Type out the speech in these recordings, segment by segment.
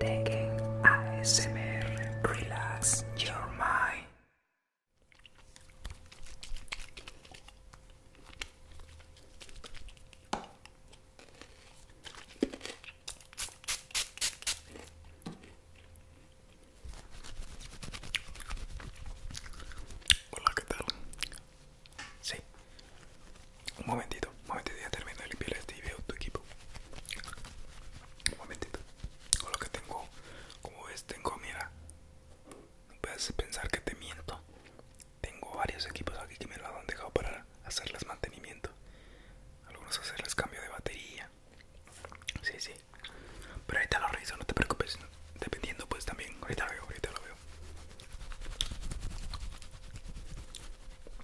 Taking ASMR, relax your mind. Hola, ¿qué tal? Sí, Un momentito, un momentito, ya termino de limpiar este y veo tu equipo. Un momentito. Con lo que tengo, como ves, tengo, mira. No puedes pensar que te miento. Tengo varios equipos aquí que me lo han dejado para hacerles mantenimiento. Algunos hacerles cambio de batería. Sí, sí. Pero ahorita lo reviso, no te preocupes. Dependiendo pues también. Ahorita veo, ahorita lo veo.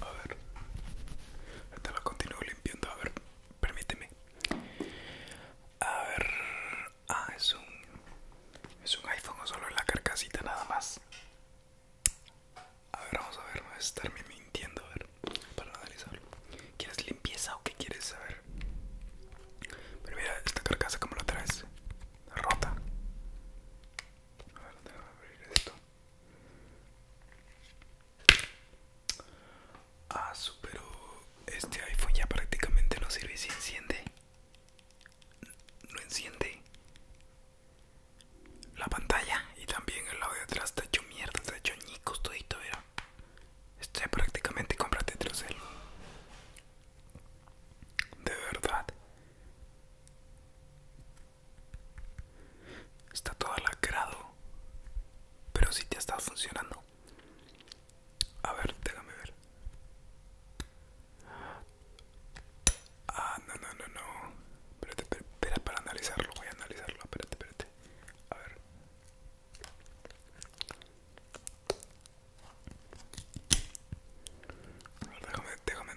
A ver, te lo continúo limpiando. A ver, permíteme. A ver, ah, es un, es un iPhone o solo la carcasita nada más. A ver, vamos a ver, no a estarme mintiendo, a ver, para analizarlo. ¿Quieres limpieza o qué quieres saber? Pero mira, esta carcasa como la traes rota. A ver, que abrir esto. Ah, superó. Este iPhone ya prácticamente no sirve si enciende. No enciende la pantalla y también el lado de atrás está hecho mierda, está hecho ñicos todito, ¿verdad? Estoy este, prácticamente cómprate otro De verdad. Está todo lacrado, pero si sí te está funcionando. A ver, déjame ver. Ah, no, no, no, no. Espérate, espera, espera para analizarlo. Voy a analizarlo. Espérate, espérate. A ver déjame,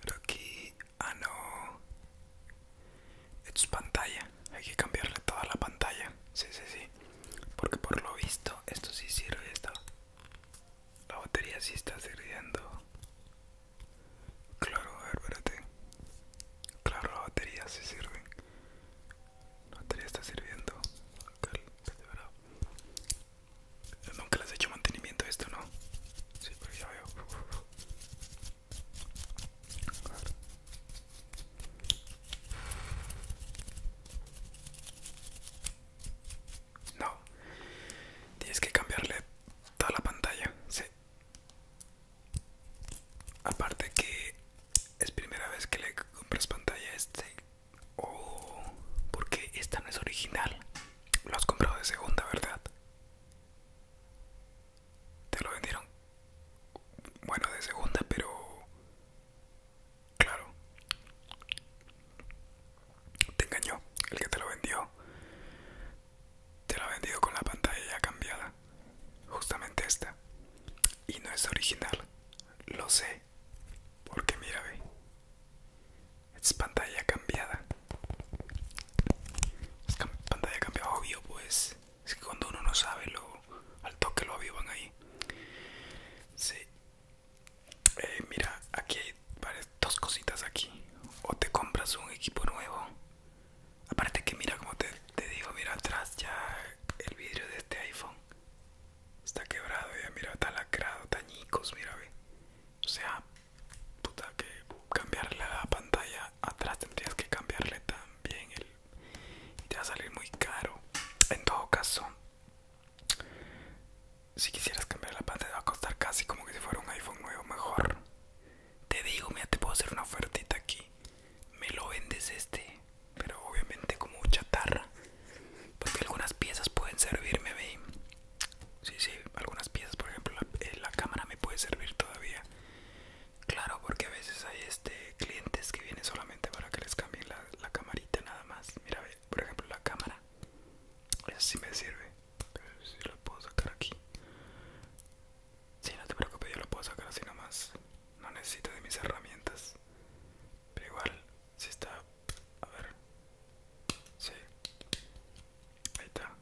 Pero aquí... Ah, no. es pantalla. Hay que cambiarle toda la pantalla. Sí, sí, sí. Porque por lo visto esto sí sirve. La batería sí está sirviendo. Claro, a ver, espérate. Claro, la batería sí sirve. La batería está sirviendo. Okay, Yo nunca le has hecho mantenimiento a esto, ¿no? Sí, pero ya veo. No, tienes que cambiarle toda la pantalla, sí. Aparte que es primera vez que le compras pantalla este. O porque esta no es original. Lo has comprado de segunda, ¿verdad? Te lo vendieron. Bueno, de segunda, pero... Claro. Te engañó. El que te lo vendió. Te lo ha vendido con la pantalla ya cambiada. Justamente esta. Y no es original, lo sé, porque mira, ve, es pantalla cambiada. Es pantalla cambiada, obvio, pues. Es que cuando uno no sabe, lo, al toque lo avivan ahí. Sí. Eh, mira, aquí hay dos cositas aquí. O te compras un equipo nuevo. Aparte que mira, como te, te digo, mira atrás ya el vidrio de este iPhone está quebrado, ya mira, está lacrado, tañicos, mira, O sea, puta, que cambiarle la pantalla atrás tendrías que cambiarle también Y te va a salir muy caro. En todo caso, si quisieras cambiar la pantalla va a costar casi como que si fuera un iPhone nuevo mejor. Te digo, mira, te puedo hacer una ofertita aquí. Me lo vendes este pero obviamente como chatarra porque algunas piezas pueden servirme a sí sí algunas piezas por ejemplo eh, la, cámara me puede servir todavía claro porque a veces hay este clientes que vienen solamente para que les cambien la, camarita nada más mira por ejemplo la cámara esa sí me sirve si la puedo sacar aquí Sí, no te preocupes, yo lo puedo sacar así nomás. No necesito de mis herramientas. Pero igual, si está... A ver. Sí. Ahí está.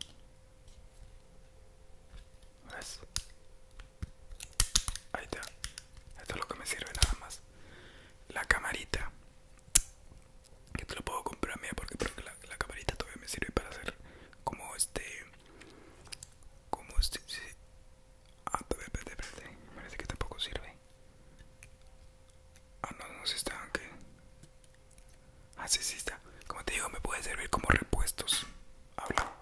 ¿Ves? Ahí está. Esto es lo que me sirve nada más. La camarita. Que te lo puedo comprar a mí porque, porque que la camarita todavía me sirve para hacer como este... Como este... Ah, espérate, espérate. Parece que tampoco sirve. Ah, no, no, si está, aunque. Ah, sí, sí está. Como te digo, me puede servir como repuestos. Habla.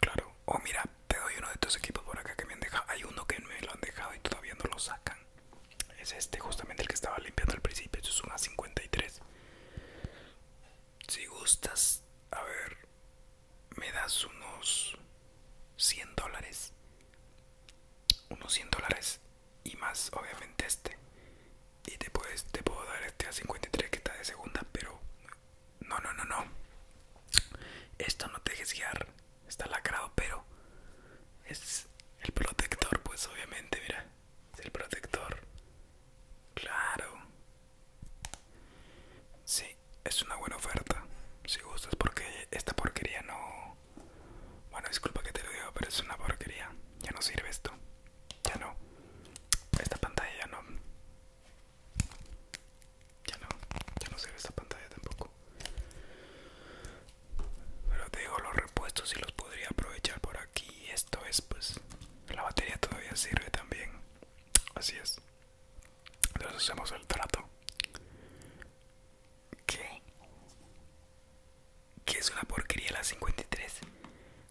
Claro. Oh, mira, te doy uno de estos equipos por acá que me han dejado. Hay uno que me lo han dejado y todavía no lo sacan. Es este, justamente el que estaba limpiando al principio. Eso es una 53. Si gustas, a ver, me das unos 100 dólares. Unos 100 dólares y más, obviamente, este. Y te, puedes, te puedo dar este a 53 que está de segunda, pero no, no, no, no. Esto no te dejes guiar, está lacrado, pero es el protector, pues obviamente, mira, es el protector. Claro, Sí, es una buena oferta. Si gustas, porque esta porquería no... Bueno, disculpa que te lo diga, pero es una porquería. Ya no sirve esto. Ya no. Esta pantalla ya no... Ya no. Ya no sirve esta pantalla tampoco. Pero te digo, los repuestos y los podría aprovechar por aquí. Esto es pues... La batería todavía sirve también. Así es. Entonces hacemos el trato. ¿Qué? ¿Qué es una porquería la 53?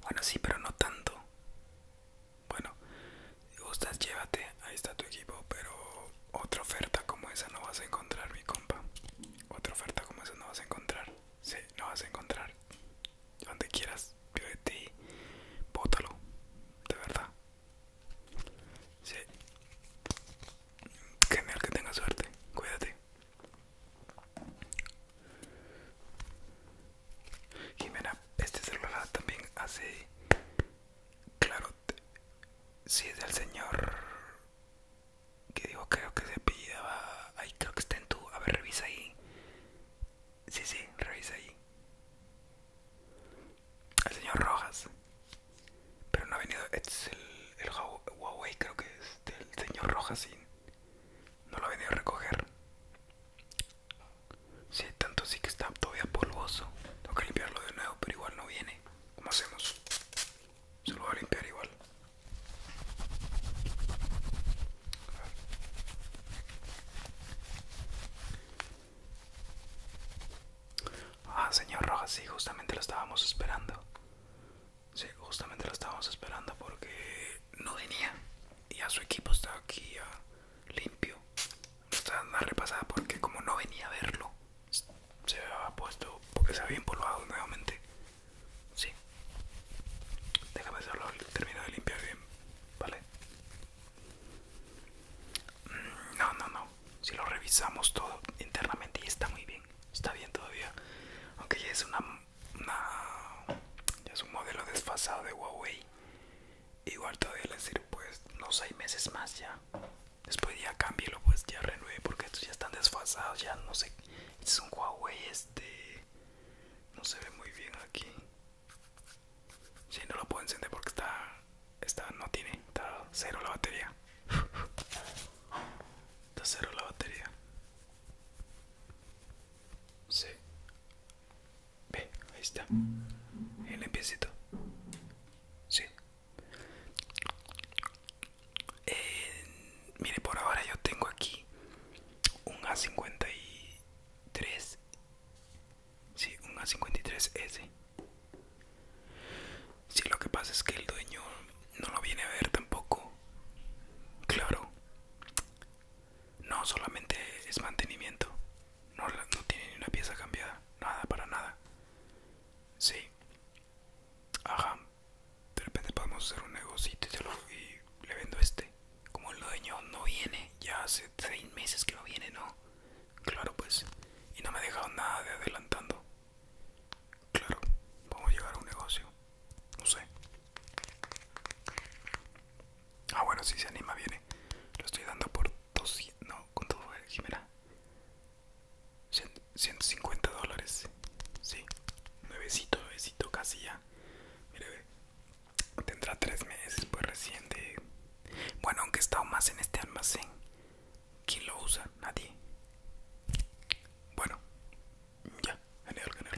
Bueno, sí, pero no tanto. Bueno, si gustas, llévate. Ahí está tu equipo, pero otra oferta como esa no vas a encontrar, mi compa. Otra oferta como esa no vas a encontrar. Sí, no vas a encontrar donde quieras, yo de ti, bótalo, de verdad. Sí. Genial que tenga suerte, cuídate. Jimena, este celular también hace. Claro, si es del señor que digo, creo que se pillaba. Ahí creo que está en tu. A ver, revisa ahí. Sí, sí, revisa ahí. El señor Rojas. Pero no ha venido. Este es el, Huawei, creo que es del señor Rojas, No lo ha venido a recoger. Sí, tanto sí que está todavía polvoso. Tengo que limpiarlo de nuevo, pero igual no viene. ¿Cómo hacemos? Se lo voy a limpiar igual. Ah, señor Rojas, sí, justamente lo estábamos esperando. Sí, justamente lo estábamos esperando porque no venía. Y a su equipo está aquí limpio, limpio. Está dando una repasada porque como no venía a verlo, se había puesto porque se había empolvado nuevamente. Sí. Déjame hacerlo, terminado de limpiar bien. Vale. No, no, no. Si lo revisamos todo internamente y está muy bien. Está bien todavía. Aunque ya es una, ya es un modelo desfasado de Huawei. Igual todavía le sirve pues no 6 meses más ya. Después ya cámbielo, pues ya renueve porque estos ya están desfasados, ya no sé. es un Huawei este no se ve muy bien aquí. Si, no lo puedo encender porque está... está no tiene, está cero la batería. Está cero la batería. Si Ve, ahí está. El limpiecito. Sí. Eh, mire, por ahora yo tengo aquí un A53 Sí, un A53S. Si, lo que pasa es que el dueño no lo viene a ver tampoco. Claro. No, solamente es mantenimiento. No, no tiene ni una pieza cambiada. Nada, para nada. Sí. Ajá. De repente podemos hacer un negocio y le vendo este. Como el dueño no viene, ya hace 3 meses que no viene, ¿no? Claro, pues. Y no me ha dejado nada de adelantando. Claro, vamos a llegar a un negocio. No sé. Ah, bueno, si se anima, viene. Lo estoy dando por 200. No, con todo, Jimena. 150 dólares. Sí. Nuevecito, nuevecito, casi ya. Mire, ve. Tendrá tres meses, pues recién de... Bueno, aunque he estado más en este almacén. ¿Quién lo usa? Nadie. Bueno, ya, genial, genial.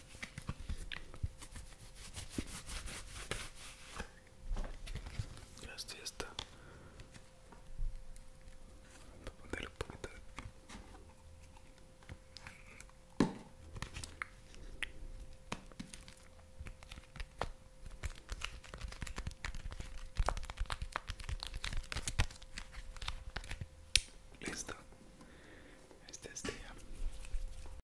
Así está. Voy a poner un poquito de... Listo. Este es ya